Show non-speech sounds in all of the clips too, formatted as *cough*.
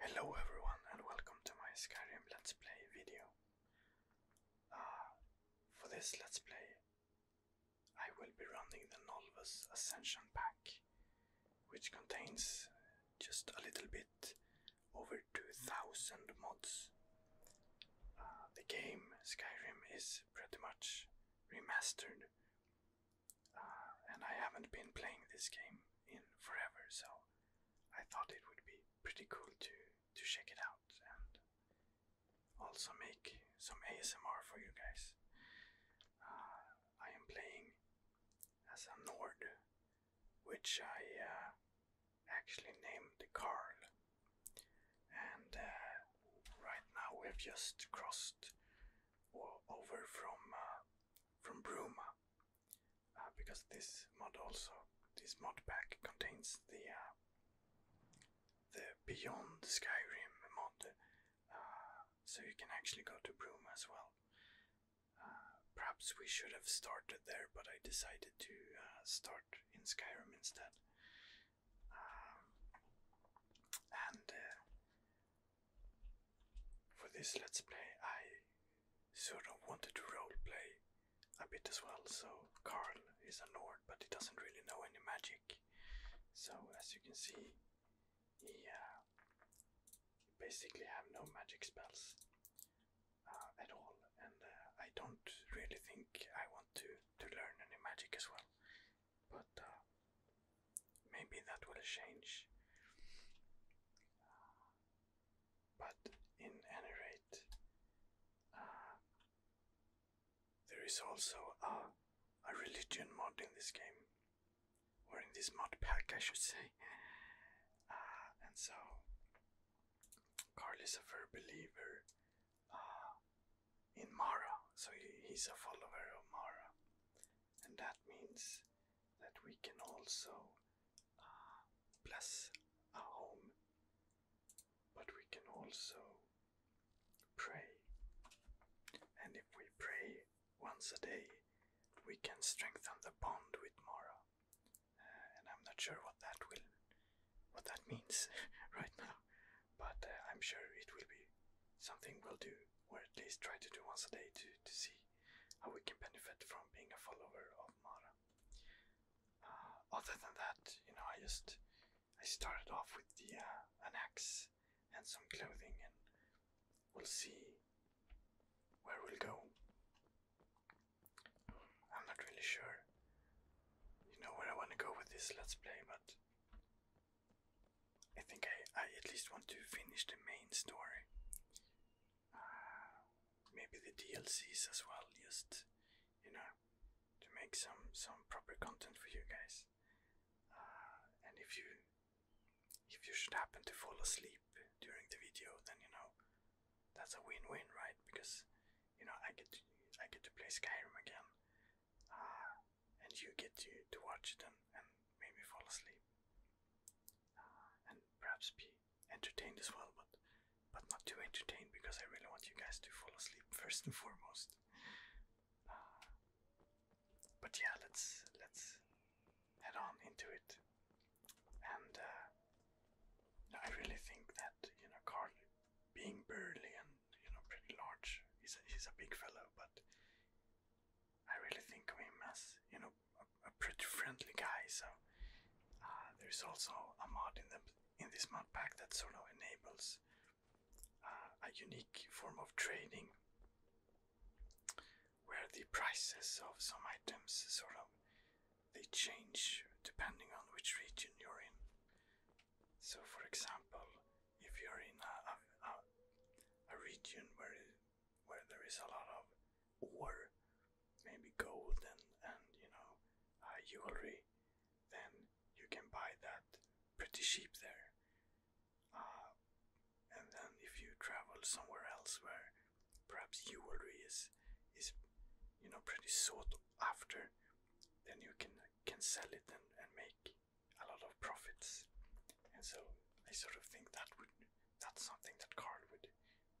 Hello everyone and welcome to my Skyrim Let's Play video. Uh, for this Let's Play I will be running the Nolvus Ascension Pack which contains just a little bit over 2000 mods. Uh, the game Skyrim is pretty much remastered. Uh, and I haven't been playing this game in forever, so I thought it would be pretty cool to to check it out and also make some ASMR for you guys. Uh, I am playing as a Nord, which I uh, actually named Carl and uh, right now we've just crossed over from uh, from Bruma uh, because this mod also this mod pack contains the the Beyond Skyrim mod, so you can actually go to Bruma as well. perhaps we should have started there, but I decided to start in Skyrim instead. Um, and uh, for this let's play, I sort of wanted to roleplay a bit as well. So Carl is a Nord, but he doesn't really know any magic. So as you can see, he uh, basically have no magic spells uh, at all, and uh, I don't really think I want to to learn any magic as well but uh, maybe that will change. but in any rate, uh, there is also a, religion mod in this game, or in this mod pack, I should say. Uh, and so, Carl is a fervent believer *sighs* in Mara. So he's a follower of Mara, and that means that we can also uh, bless our home, but we can also pray. And if we pray once a day, we can strengthen the bond with Mara. Uh, and I'm not sure what that will, what that means *laughs* right now but uh, I'm sure it will be something we'll do, or at least try to do once a day to, to see how we can benefit from being a follower of Mara. Uh, other than that, you know, I just I started off with the uh, an axe and some clothing, and we'll see where we'll go. I'm not really sure, you know, where I want to go with this let's play, but I think I, I at least want to finish the main story. Uh, maybe the DLCs as well, just, you know, to make some, some proper content for you guys. Uh, and if you if you should happen to fall asleep during the video, then you know that's a win-win, right? Because you know I get to, I get to play Skyrim again, uh, and you get to, to watch them and maybe fall asleep uh, and perhaps be entertained as well but but not too entertained because I really want you guys to fall asleep *laughs* first and foremost uh, but yeah let's let's head on into it and uh, I really think that you know Carl being burly and you know, pretty large. He's a, he's a big fellow, but I really think of him as, you know, a, pretty friendly guy. So uh, there's also a mod in the in this mod pack that sort of enables uh, a unique form of trading where the prices of some items sort of they change depending on which region you're in so, for example, if you're in a, a, region where where there is a lot of ore, maybe gold and and you know uh, jewelry, then you can buy that pretty cheap there. Uh, and then if you travel somewhere else where perhaps jewelry is is you know pretty sought after, then you can can sell it and, and make a lot of profits. And so I sort of think that would that's something that Carl would,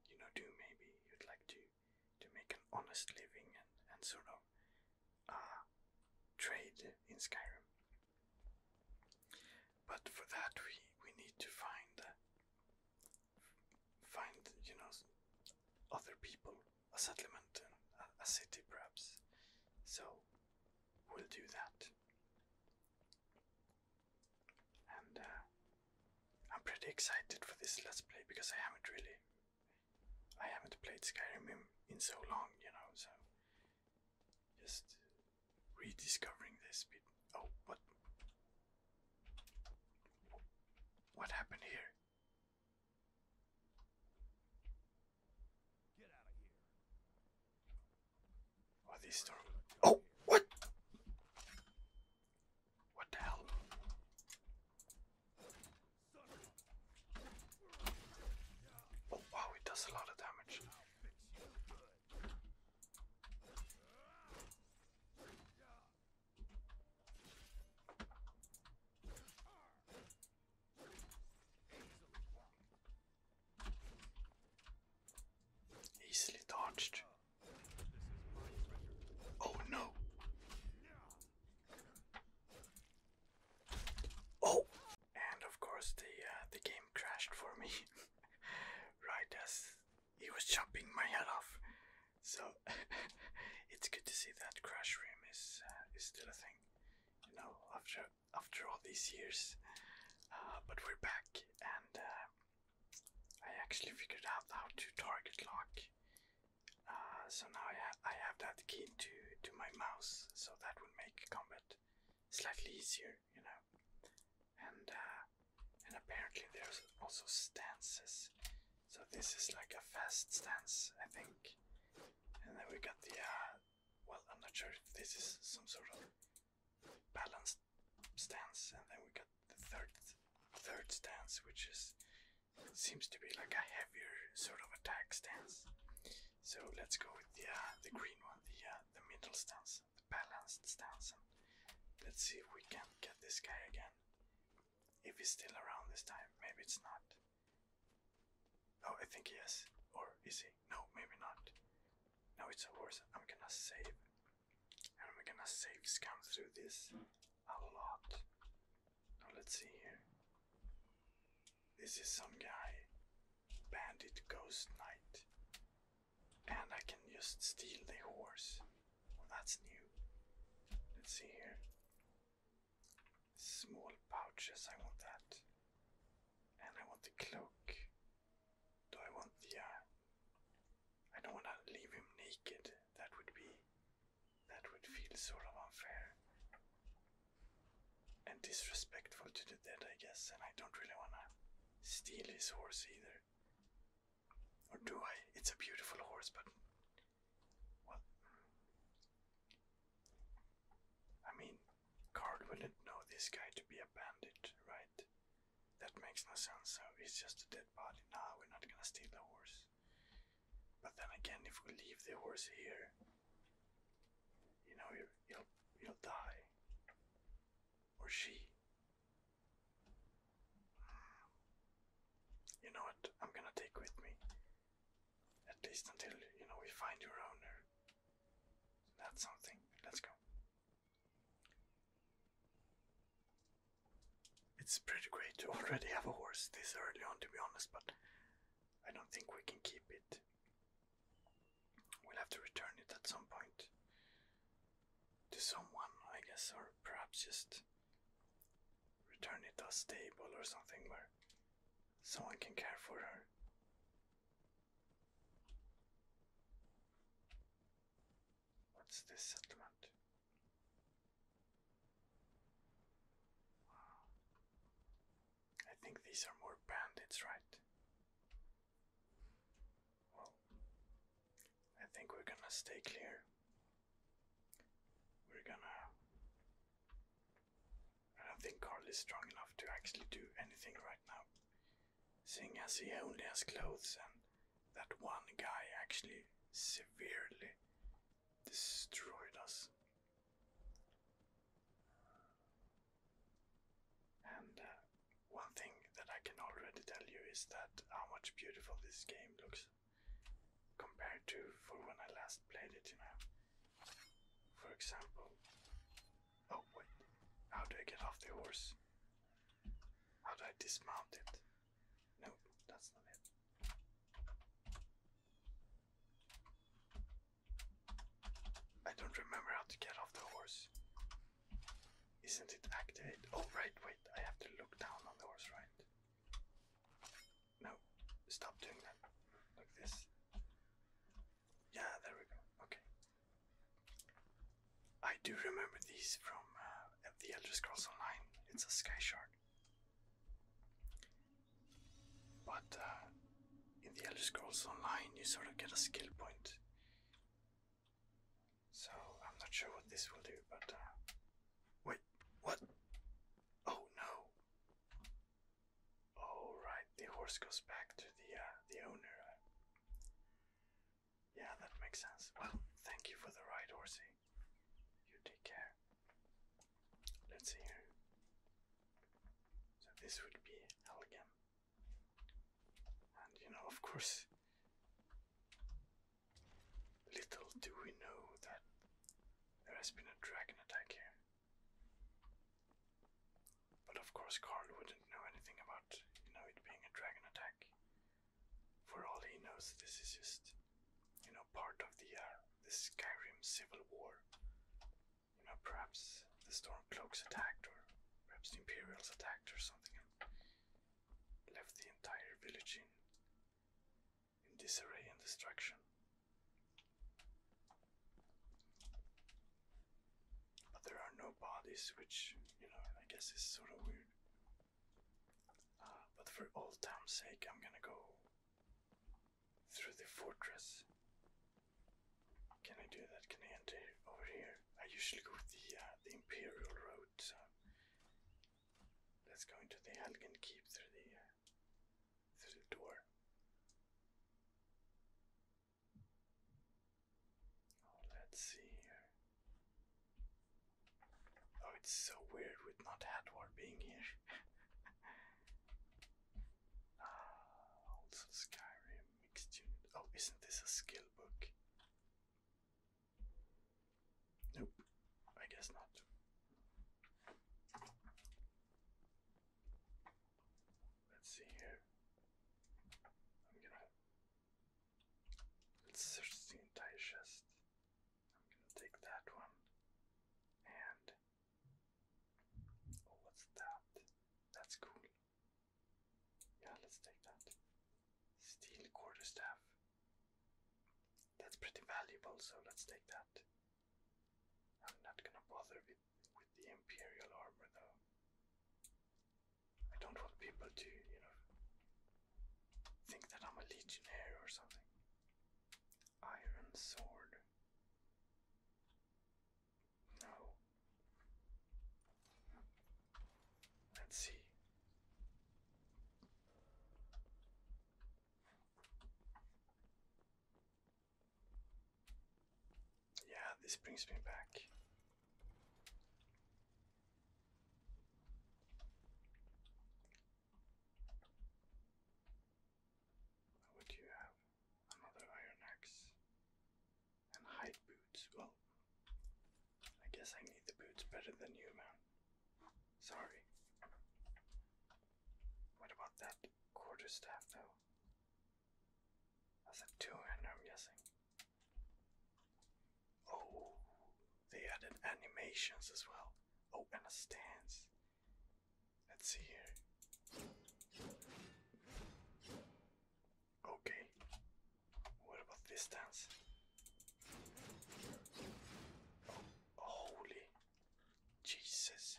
you know, do maybe. You'd like to to make an honest living and, and sort of uh trade in Skyrim. But for that we we need to find uh, find, you know, other people a settlement a, city perhaps. So we'll do that. And uh, I'm pretty excited for this let's play because I haven't really I haven't played Skyrim in, in so long, you know, so just rediscovering this bit. Oh, what? What happened here? Are oh, these storm? Oh, what? What the hell? Oh wow, it does a lot of damage. Easily dodged. Oh no. Oh, and of course the uh, the game crashed for me *laughs* right as he was chopping my head off. So *laughs* it's good to see that crash room is uh, is still a thing. You know, after after all these years. Uh, but we're back, and uh, I actually figured out how to target lock. Uh, so now I, I have that key to to my mouse, so that would make combat slightly easier, you know. And and apparently there's also stances, so this is like a fast stance, I think. And then we got the well, I'm not sure if this is some sort of balanced stance, and then we got the third third stance, which is seems to be like a heavier sort of attack stance. So let's go with the uh, the green one, the uh, the middle stance, the balanced stance. And let's see if we can get this guy again. If he's still around this time, maybe it's not. Oh, I think he Or is he? No, maybe not. No, it's a horse. I'm gonna save. And I'm gonna save scam through this a lot. Now let's see here. This is some guy. Bandit Ghost Knight. And I can just steal the horse. Well, that's new. Let's see here. Small pouches, I want that. And I want the cloak. Do I want the. Uh, I don't want to leave him naked. That would be. That would feel sort of unfair. And disrespectful to the dead, I guess. And I don't really want to steal his horse either. Or do I? It's a beautiful horse, but. Well. I mean, Card wouldn't know this guy to be a bandit, right? That makes no sense, so he's just a dead body. now. we're not gonna steal the horse. But then again, if we leave the horse here, you know, he'll, he'll die. Or she. You know what? I'm gonna take with me. At least until, you know, we find your owner that's something. Let's go. It's pretty great to *laughs* already have a horse this early on, to be honest, but I don't think we can keep it. We'll have to return it at some point to someone, I guess, or perhaps just return it to a stable or something where someone can care for her. What's this settlement? I think these are more bandits, right? Well, I think we're gonna stay clear. We're gonna I don't think Carl is strong enough to actually do anything right now, seeing as he only has clothes and that one guy actually severely destroyed us. And uh, one thing that I can already tell you is that how much beautiful this game looks compared to for when I last played it, you know. For example, oh wait, how do I get off the horse? How do I dismount it? No, that's not it. I don't remember how to get off the horse. Isn't it activate? Oh, right, wait, I have to look down on the horse, right? No, stop doing that. Like this. Yeah, there we go. Okay. I do remember these from uh, the Elder Scrolls Online. It's a sky shard. But uh, in the Elder Scrolls Online, you sort of get a skill point. So I'm not sure what this will do, but. Uh, wait, what? Oh no! Oh right, the horse goes back to the uh, the owner. Yeah, that makes sense. Well, thank you for the ride, horsey. You take care. Let's see So this would be Helgen. And you know, of course, little do we know that there has been a dragon attack here. But of course, Carl wouldn't know anything about, you know, it being a dragon attack. For all he knows, this is just, you know, part of the uh, the Skyrim Civil War. You know, perhaps the Stormcloaks attacked, or perhaps the Imperials attacked, or something, left the entire village in in disarray and destruction. But there are no bodies, which, you know, I guess is sort of weird. Uh, but for old time's sake, I'm gonna go through the fortress. Can I do that? Can I enter over here? I usually go the uh, the imperial road. So let's go into the Helgen Keep through the uh, through the door. Oh, let's see here. Oh, it's so weird with not Hadwar being here. *laughs* Ah, also Skyrim mixed unit. Oh, isn't this a skill book? Nope, I guess not. Let's see here. I'm gonna search the entire chest. I'm gonna take that one. And oh, what's that? That's cool. Yeah, let's take that. Steel quarterstaff. That's pretty valuable, so let's take that. I'm not gonna bother with, with the Imperial armor though. I don't want people to, you know, think that I'm a legionnaire or something. Iron sword. No. Let's see. Yeah, this brings me back. What you have? Another iron axe and hide boots. Well, I guess I need the boots better than you, man. Sorry. What about that quarterstaff, though? That's a and I'm guessing. Oh, they added animations as well. Oh, and a stance. Let's see here. Okay. What about this dance? Oh, holy Jesus.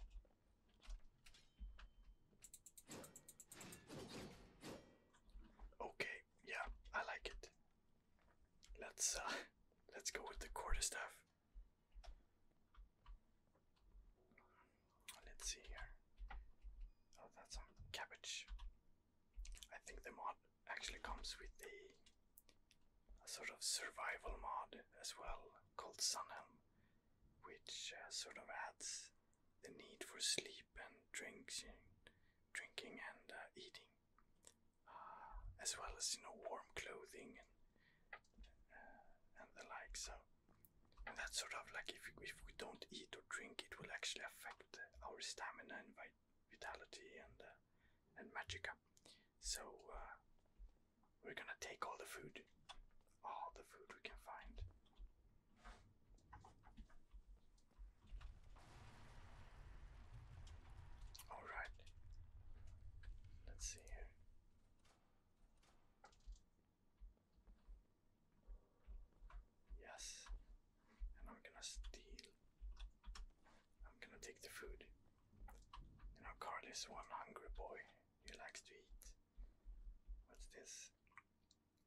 Okay, yeah, I like it. Let's uh, *laughs* let's go with the quarterstaff. Let's see here. Oh, that's some cabbage. I think the mod actually comes with a, sort of survival mod as well called Sunhelm, which uh, sort of adds the need for sleep and drinks, drinking and uh, eating, uh, as well as you know warm clothing and and the like. So and that's sort of like if if we don't eat or drink, it will actually affect our stamina and vitality and and magica. So we're gonna take all the food. All the food we can find. Alright. Let's see here. Yes. And I'm gonna steal. I'm gonna take the food. You know, Carl is one hungry boy he likes to eat. What's this?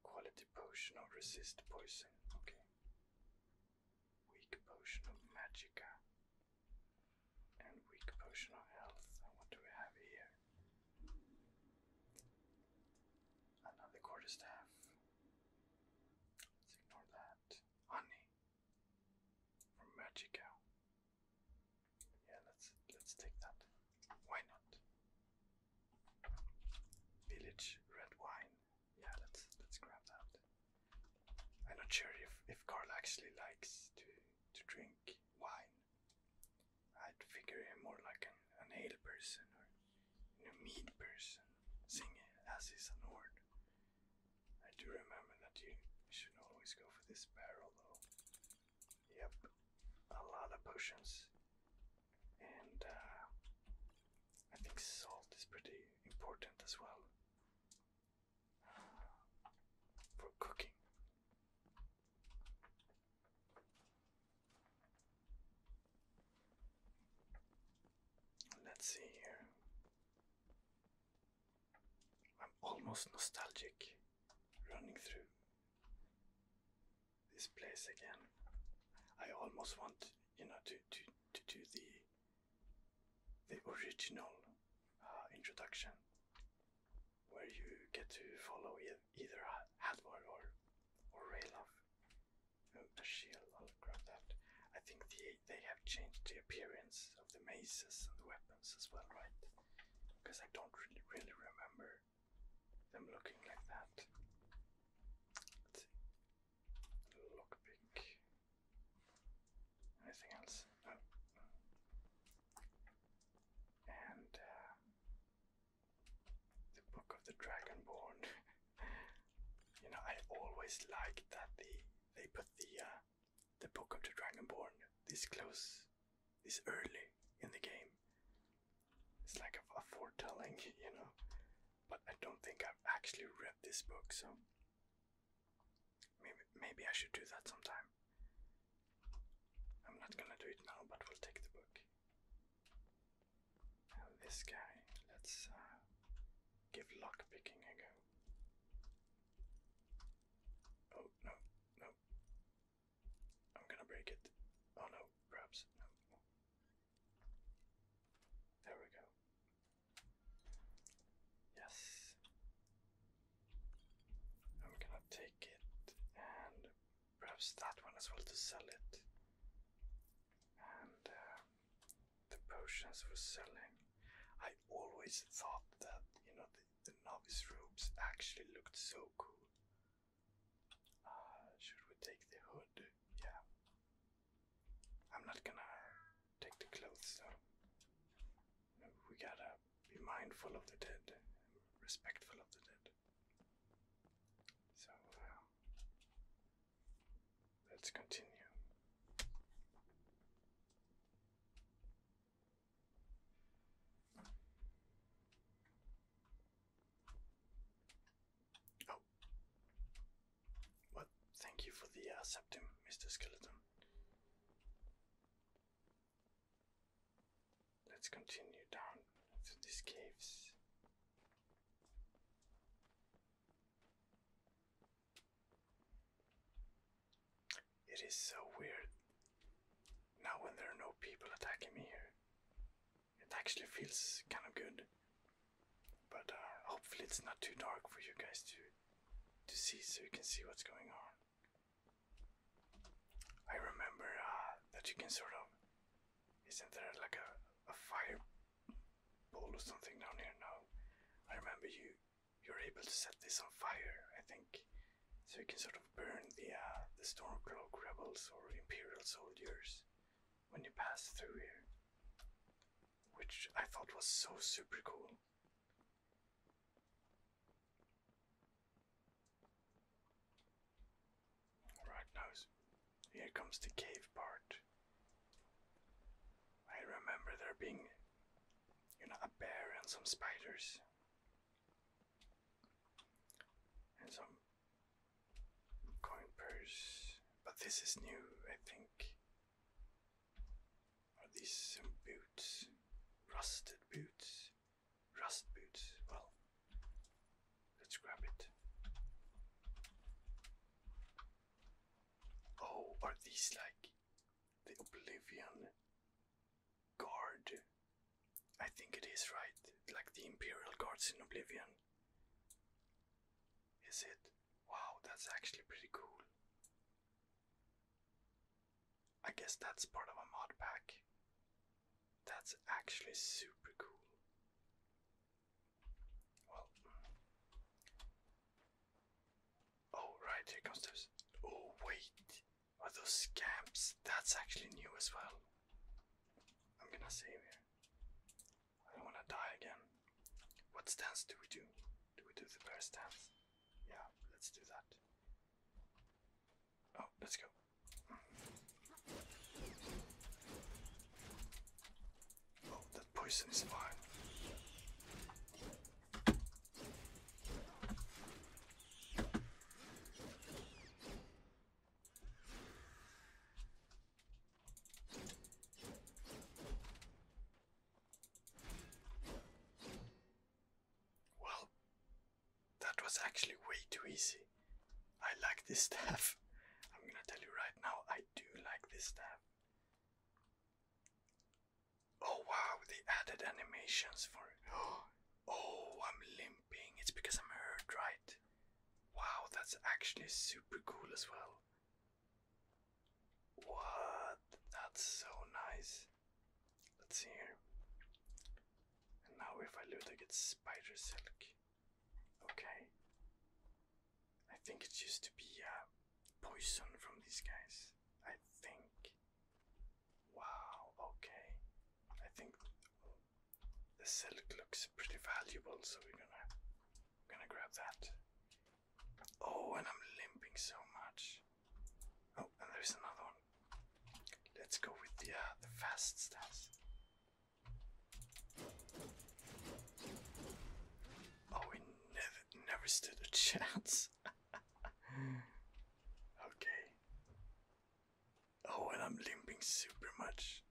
Quality potion or resist poison. Okay. Weak potion of magica. And weak potion of health. And what do we have here? Another quarterstaff. Let's ignore that. Honey. From magica. Yeah, let's let's take that. Why not? Village red wine. Yeah, let's let's grab that. I'm not sure if if Carl actually likes to to drink wine. I'd figure him more like an, an ale person or a meat person, seeing as he's a Nord. I do remember that you should always go for this barrel though. Yep, a lot of potions. And uh, I think salt is pretty important as well for cooking. Let's see here. I'm almost nostalgic running through this place again. I almost want you know to to to do the the original uh, introduction where you get to follow either Hadvar or or Raylov. Oh, the shield! i that. I think the, they have changed the appearance of the maces and the weapons as well, right? Because I don't really really remember them looking like that. Let's see. Lockpick. Anything else? And uh, the Book of the Dragonborn. *laughs* you know, I always liked that the they put the uh, the Book of the Dragonborn this close is early in the game. It's like a, foretelling, *laughs* you know. But I don't think I've actually read this book, so maybe maybe I should do that sometime. I'm not gonna do it now, but we'll take the book. this guy, let's uh, give lockpicking a go. Oh no, no, I'm gonna break it. Oh no, perhaps. No. There we go. Yes. I'm gonna take it and perhaps that one as well to sell it. And uh, the potions were selling. I always thought that, you know, the, the novice robes actually looked so cool. Uh, should we take the hood? Yeah. I'm not gonna take the clothes So we gotta be mindful of the dead, respectful of the dead. So uh, let's continue. Oh. What? Thank you for the uh, septum, Mr. Skeleton. Let's continue down to these caves. It is so weird now when there are no people attacking me here, it actually feels kind of good. But uh, hopefully it's not too dark for you guys to to see, so you can see what's going on. I remember uh, that you can sort of. Isn't there like a, a fire pole or something down here? No. I remember you. You're able to set this on fire, I think, so you can sort of burn the uh, the Stormcloak rebels or Imperial soldiers when you pass through here, which I thought was so super cool. Right now, here comes the cave part. I remember there being, you know, a bear and some spiders and some coin purse. But this is new, I think. Are these some boots? Rusted boots? Rust boots. Well, let's grab it. Oh, are these like the Oblivion Guard. I think it is right, like the Imperial Guards in Oblivion. Is it? Wow, that's actually pretty cool. I guess that's part of a mod pack. That's actually super cool. Well. Mm. Oh, right, here comes this. Oh, wait. Are those scamps? That's actually new as well. I'm gonna save it. I don't wanna die again. What stance do we do? Do we do the bear stance? Yeah, let's do that. Oh, let's go. Oh, that poison is fine. Well, that was actually way too easy. I like this stuff. I'm gonna tell you right now, I do like this staff. Oh wow, they added animations for *gasps* Oh, I'm limping. It's because I'm hurt, right? Wow, that's actually super cool as well. What? That's so nice. Let's see And now if I loot, I get spider silk. Okay. I think it used to be uh, poison from these guys. I think. Wow, okay. I think the silk looks pretty valuable, so we're gonna we're gonna grab that. Oh, and I'm limping so much. Oh, and there's another one. Let's go with the uh, the fast stance. Oh, we never never stood a *laughs* chance. *laughs* okay. Oh, and I'm limping super much.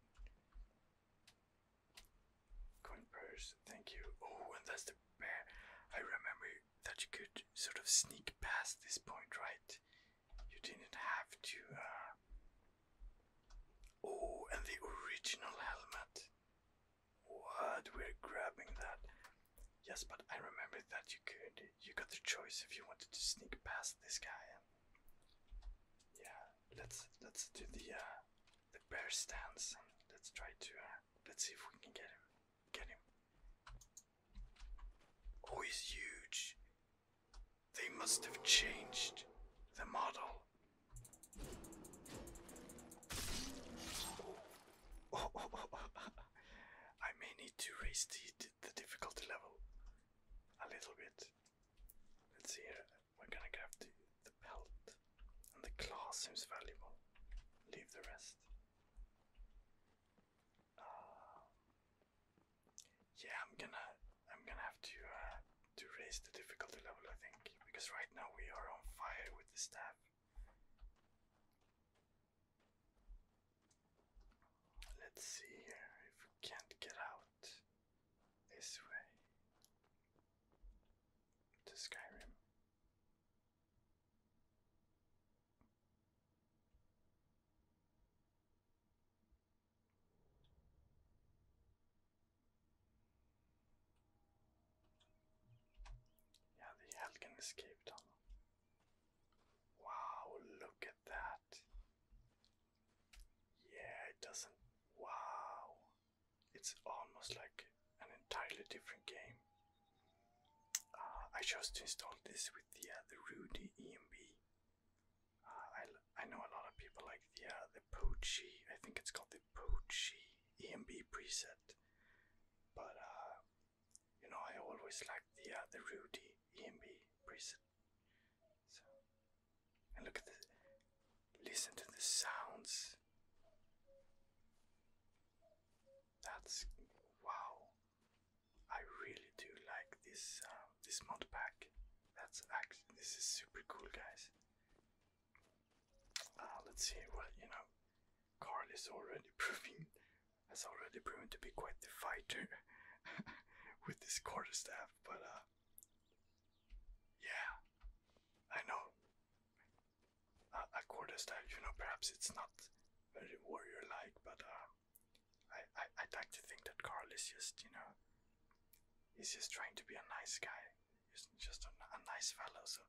Coin purse, thank you. Oh, and that's the bear. I remember that you could sort of sneak past this point, right? You didn't have to. Uh, oh, and the original helmet. What? We're grabbing that. Yes, but I remember that you could. You got the choice if you wanted to sneak past this guy yeah, let's let's do the uh, the bear stance and let's try to uh, let's see if we can get him. Get him. Oh, he's huge. They must have changed the model. oh, oh, oh. oh, oh, oh. *laughs* I may need to raise the, the difficulty level a little bit. Let's see here. We're gonna grab the, the pelt. And the claw seems valuable. Leave the rest. Um, yeah, I'm gonna I'm gonna have to uh, to raise the difficulty level, I think, because right now we are on fire with the staff. Let's see here if we can't get out this way to Skyrim. Yeah, the Helgen escape tunnel. Wow, look at that. Yeah, it doesn't. Wow. It's almost like an entirely different game. Uh, I chose to install this with the, uh, the Rudy EMB. Uh, I, I know a lot of people like the, uh, the Pochi, I think it's called the Pochi EMB preset. But, uh, you know, I always like the, uh, the Rudy EMB preset so, and look at the, listen to the sounds. That's wow. I really do like this uh, this mod pack. That's actually this is super cool, guys. Uh, let's see. Well, you know, Carl is already *laughs* proving has already proven to be quite the fighter. *laughs* *laughs* with this quarterstaff, but uh, yeah, I know uh, a quarterstaff. You know, perhaps it's not very warrior-like, but uh, I, I i like to think that Carl is just you know, he's just trying to be a nice guy. He's just a, nice fellow, so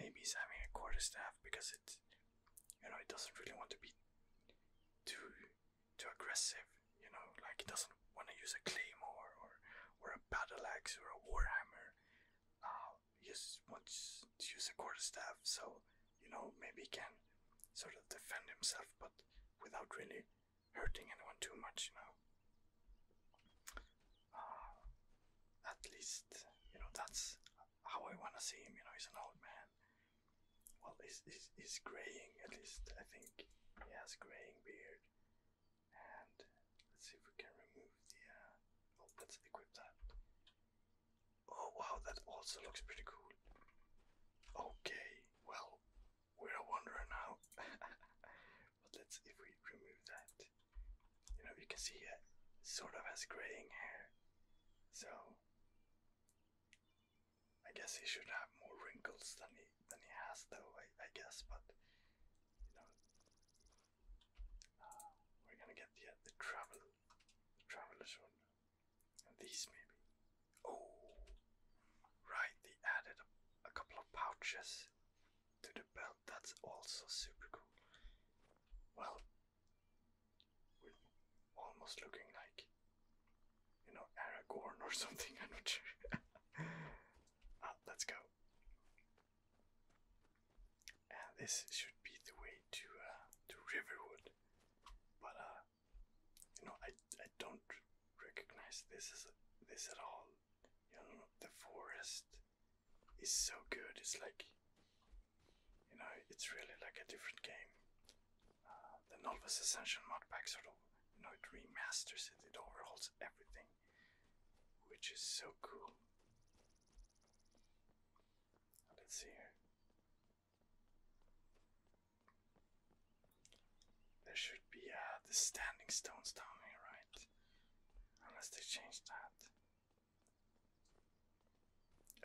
maybe he's having a quarterstaff because it, you know, it doesn't really want to be too too aggressive, you know, like he doesn't want to use a claymore or, or a battle axe or a warhammer. Uh, he just wants to use a quarterstaff, so, you know, maybe he can sort of defend himself, but without really hurting anyone too much, you know. Uh, at least, you know, that's how I want to see him, you know, he's an old man well, it's, it's, it's graying at least. I think he has graying beard. And let's see if we can remove the. Uh, oh, let's equip that. Oh wow, that also looks pretty cool. Okay, well, we're a wanderer now. *laughs* but let's if we remove that. You know, you can see it sort of has graying hair. So I guess he should have more wrinkles than he than he has, though. I, guess, but you know, uh, we're gonna get the the travel, travelers one, these maybe. Oh, right. They added a, a couple of pouches to the belt. That's also super cool. Well, almost looking like you know, Aragorn or *laughs* something. I'm not sure. uh, *laughs* let's go. this should be the way to uh, to Riverwood, but uh, you know, I I don't recognize this is this at all. You know, the forest is so good. It's like, you know, it's really like a different game. Uh, the Novus Ascension Modpack sort of you know it remasters it, it overhauls everything, which is so cool. Let's see here. There should be uh, the standing stones down here, right? Unless they changed that.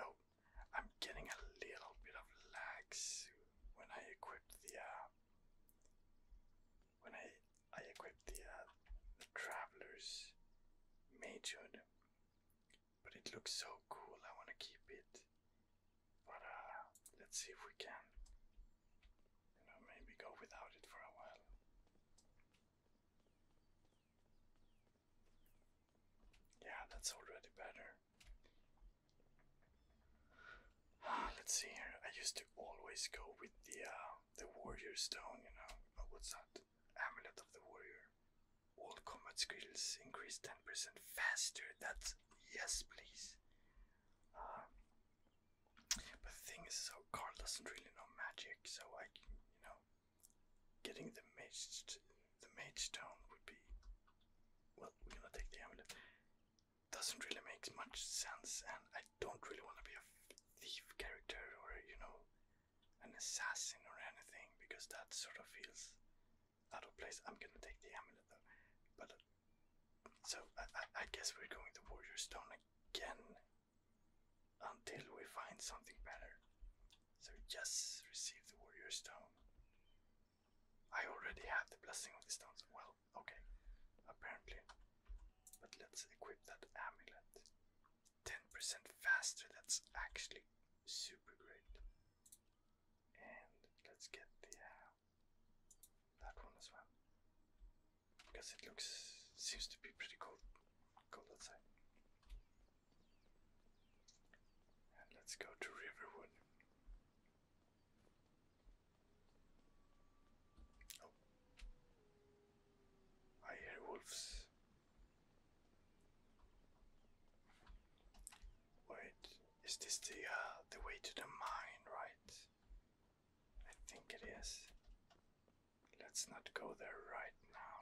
Oh, I'm getting a little bit of lag when I equipped the uh, when I I equipped the uh, the traveler's major, but it looks so cool. I want to keep it, but uh, let's see if we can, you know, maybe go without it for a while. Yeah, that's already better. *sighs* Let's see here. I used to always go with the uh, the warrior stone, you know. what's that? Amulet of the warrior. All combat skills increase 10% faster. That's yes, please. Uh, but the thing is, so Carl doesn't really know magic, so I, can, you know, getting the mage, the mage stone would be. Well, we're gonna take the amulet doesn't really make much sense, and I don't really want to be a thief character or, you know, an assassin or anything because that sort of feels out of place. I'm gonna take the amulet though, but so I, guess we're going to Warrior Stone again until we find something better. So, just receive the Warrior Stone. I already have the blessing of the stones. Well, okay, apparently. But let's equip that amulet. 10% faster, that's actually super great. And let's get the uh, that one as well. Because it looks seems to be pretty cool. cold outside. let's go to Riverwood. I hear wolves. Wait, is this the uh, the way to the mine, right? I think it is. Let's not go there right now.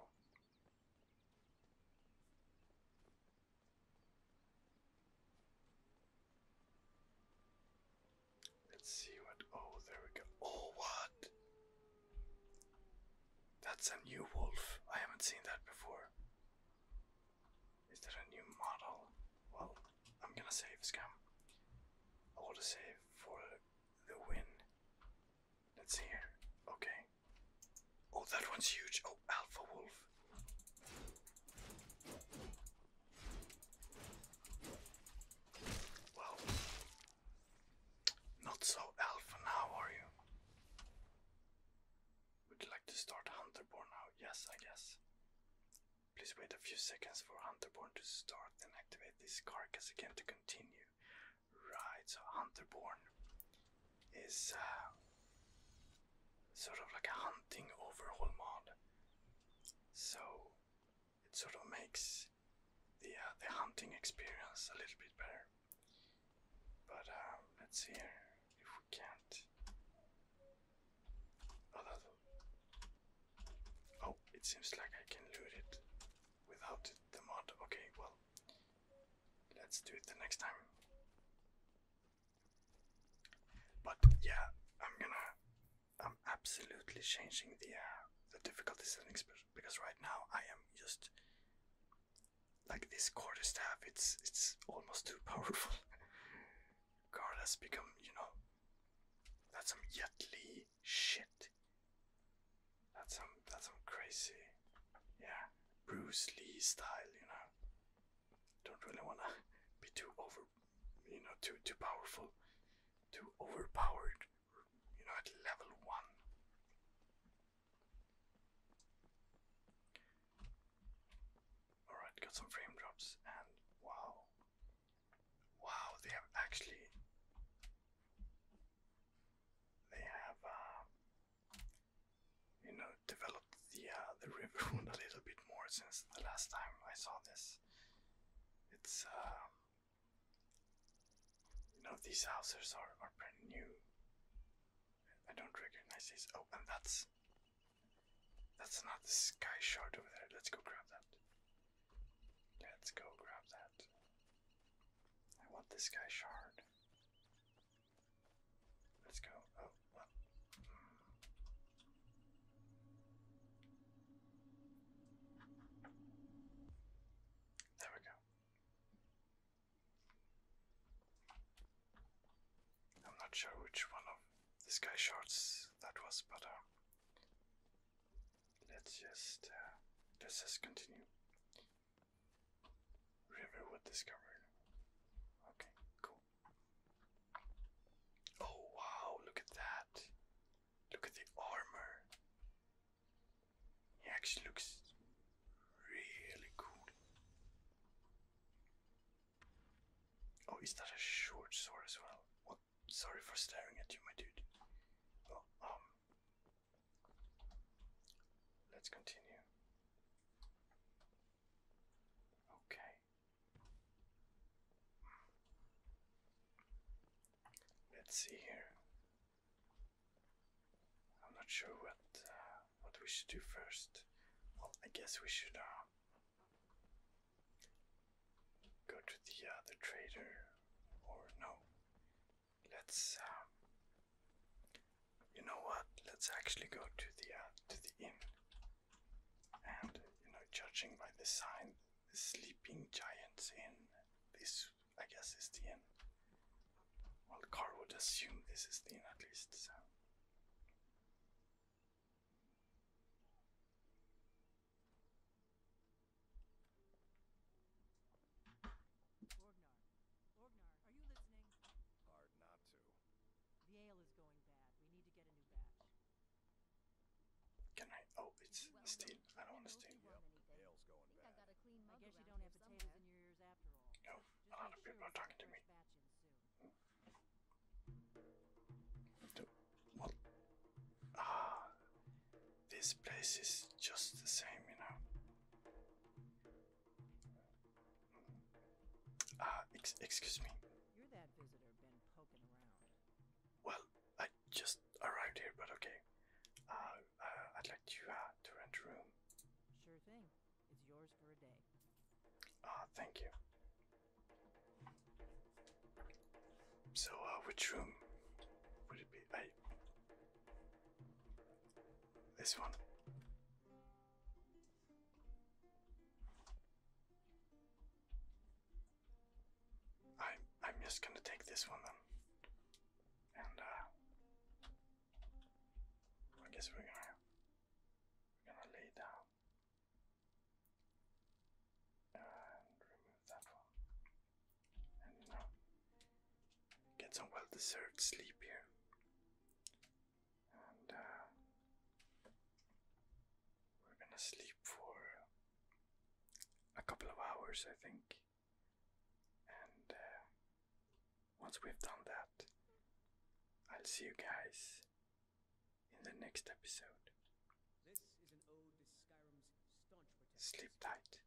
Let's see what. Oh, there we go. Oh, what? That's a new wolf. I haven't seen that before. Is that a new model? Well, I'm gonna save scam. I want to save for the win. Let's see here. Okay. Oh, that one's huge. Oh, Alpha Wolf. Well, not so alpha now, are you? Would you like to start Hunterborn now? Yes, I guess. Please wait a few seconds for Hunterborn to start, and activate this carcass again to continue. Right, so Hunterborn is uh, sort of like a hunting overhaul mod. So it sort of makes the uh, the hunting experience a little bit better. But um, let's see here if we can't. Oh, oh, it seems like I can loot it without the mod. Okay, well, let's do it the next time. But yeah, I'm gonna, I'm absolutely changing the uh, the difficulty settings because right now I am just like this quarter staff. It's it's almost too powerful. Guard *laughs* has become, you know, that's some Yetli shit. That's some that's some crazy, yeah, Bruce Lee style, you know don't really want to be too over, you know, too too powerful, too overpowered, you know, at level one. Alright, got some frame drops and wow. Wow, they have actually they have um, you know developed the uh, the river wound *laughs* a little bit more since the last time I saw this. It's um, you know these houses are are pretty new. I don't recognize these. Oh, and that's that's not the sky shard over there. Let's go grab that. Let's go grab that. I want this sky shard. Let's go. Oh, there we go. I'm not sure which one of the sky shots that was, but uh, let's just uh, let's just continue. Riverwood discovered. Okay, cool. Oh wow, look at that. Look at the armor. He actually looks really cool. Oh, is that a short sword as well? What? Sorry for staring at you, my dude. Well, um, let's continue. Okay. Let's see here. I'm not sure what uh, what we should do first. Well, I guess we should uh, go to the other trader, or no? Let's. Um, you know what? Let's actually go to the uh, to the inn. And you know, judging by the sign, the sleeping giants in this, I guess, is the end. Well, Carl would assume this is the end, at least. So. Orgnar, Orgnar, are you listening? Hard not to. The ale is going bad. We need to get a new batch. Can I? Oh, it's steel. I don't want No, a lot of people are talking to me. Ah, this place is just the same, you know. Ah, excuse me. Well, I just arrived here, but okay. Uh, uh, I'd like you uh, to rent a room. Sure thing. It's yours for a day. Ah, thank you. So, which room would it be? this one. I I'm just gonna take this one then, and uh, I guess we're gonna we're gonna lay down and remove that one, and uh, get some well-deserved sleep here. Uh, we're gonna sleep for a couple of hours, I think. And uh, once we've done that, I'll see you guys in the next episode. Sleep tight.